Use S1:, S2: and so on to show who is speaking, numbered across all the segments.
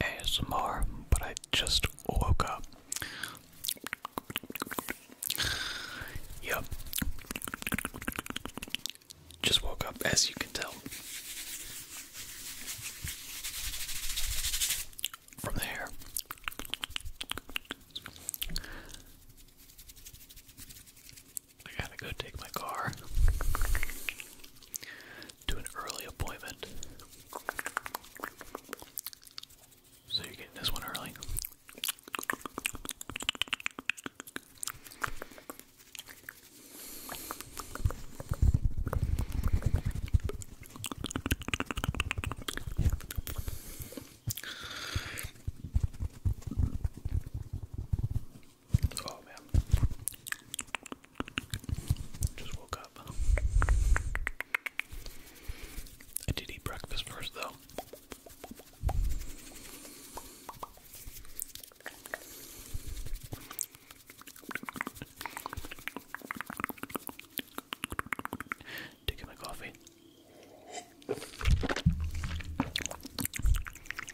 S1: ASMR, but I just woke up.
S2: Yep. Just woke up, as you can tell. From the I gotta go take my car to an early appointment. So you're getting this one early. Oh man. Just woke up. I did eat breakfast first though. Taking my coffee.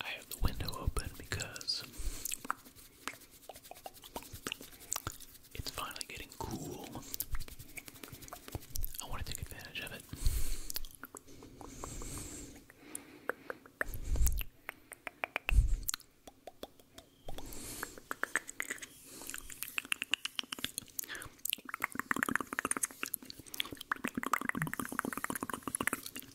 S3: I have the window open because it's finally getting cool. I want to take advantage of it.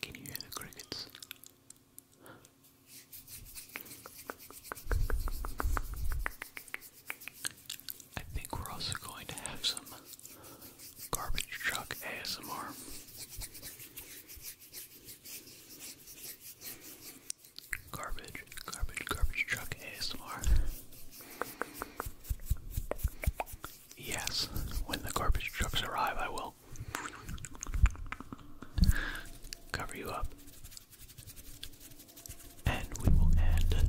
S3: Can you hear the crickets? I think we're also going to have some garbage truck ASMR. Garbage, garbage, garbage truck ASMR. Yes, when the garbage trucks arrive, I will
S1: cover you up. And we will end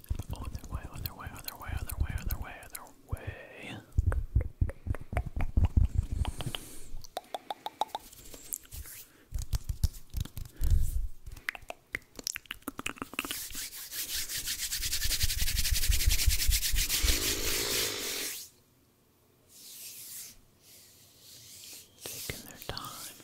S1: On their way, on their way, on their way, on their way, on their way, on their way. Taking their time.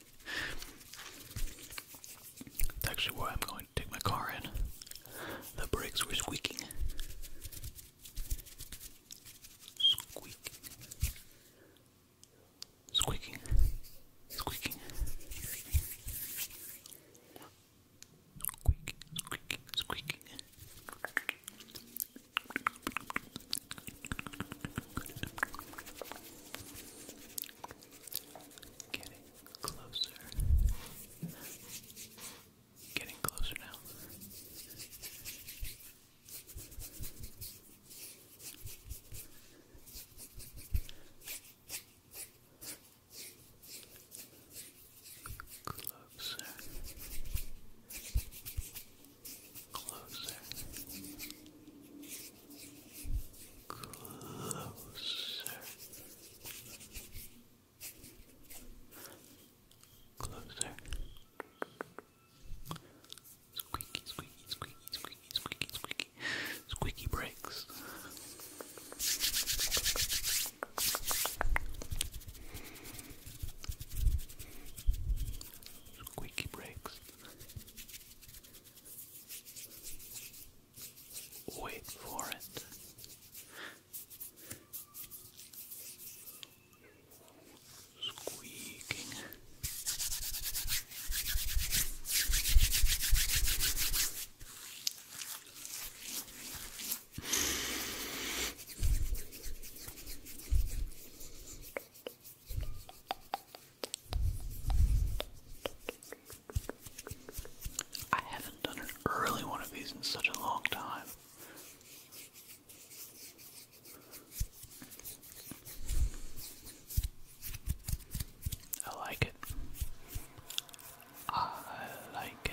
S1: That's actually where I'm going to take my car in. The brakes were squeaking. Squeaking. Squeaking. Squeaking. Squeaking, squeaking, squeaking. Getting closer. Getting closer now. Closer.
S3: Closer. Closer. Closer. Squeaky, squeaky, squeaky, squeaky, squeaky, squeaky. Squeaky breaks. Squeaky breaks. Wait for it. Squeaking.
S1: I haven't done an early one of these in such a long time. I like it. I like it.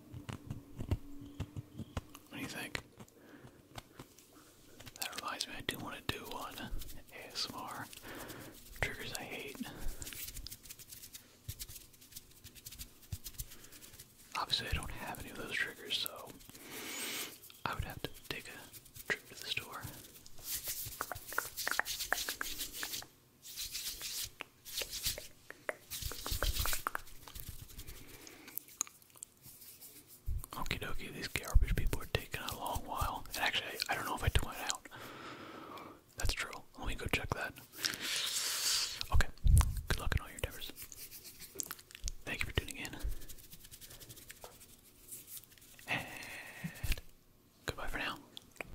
S1: What do you think? That reminds me, I do want to do one ASMR triggers I hate. Obviously, I don't have any of those triggers, so I would have to take a trip to the store. Okie dokie, these garbage people are taking a long while. And actually, I don't know if I took out. That's true. Let me go check that. Okay, good luck in all your endeavors. Thank you for tuning in. And goodbye for now.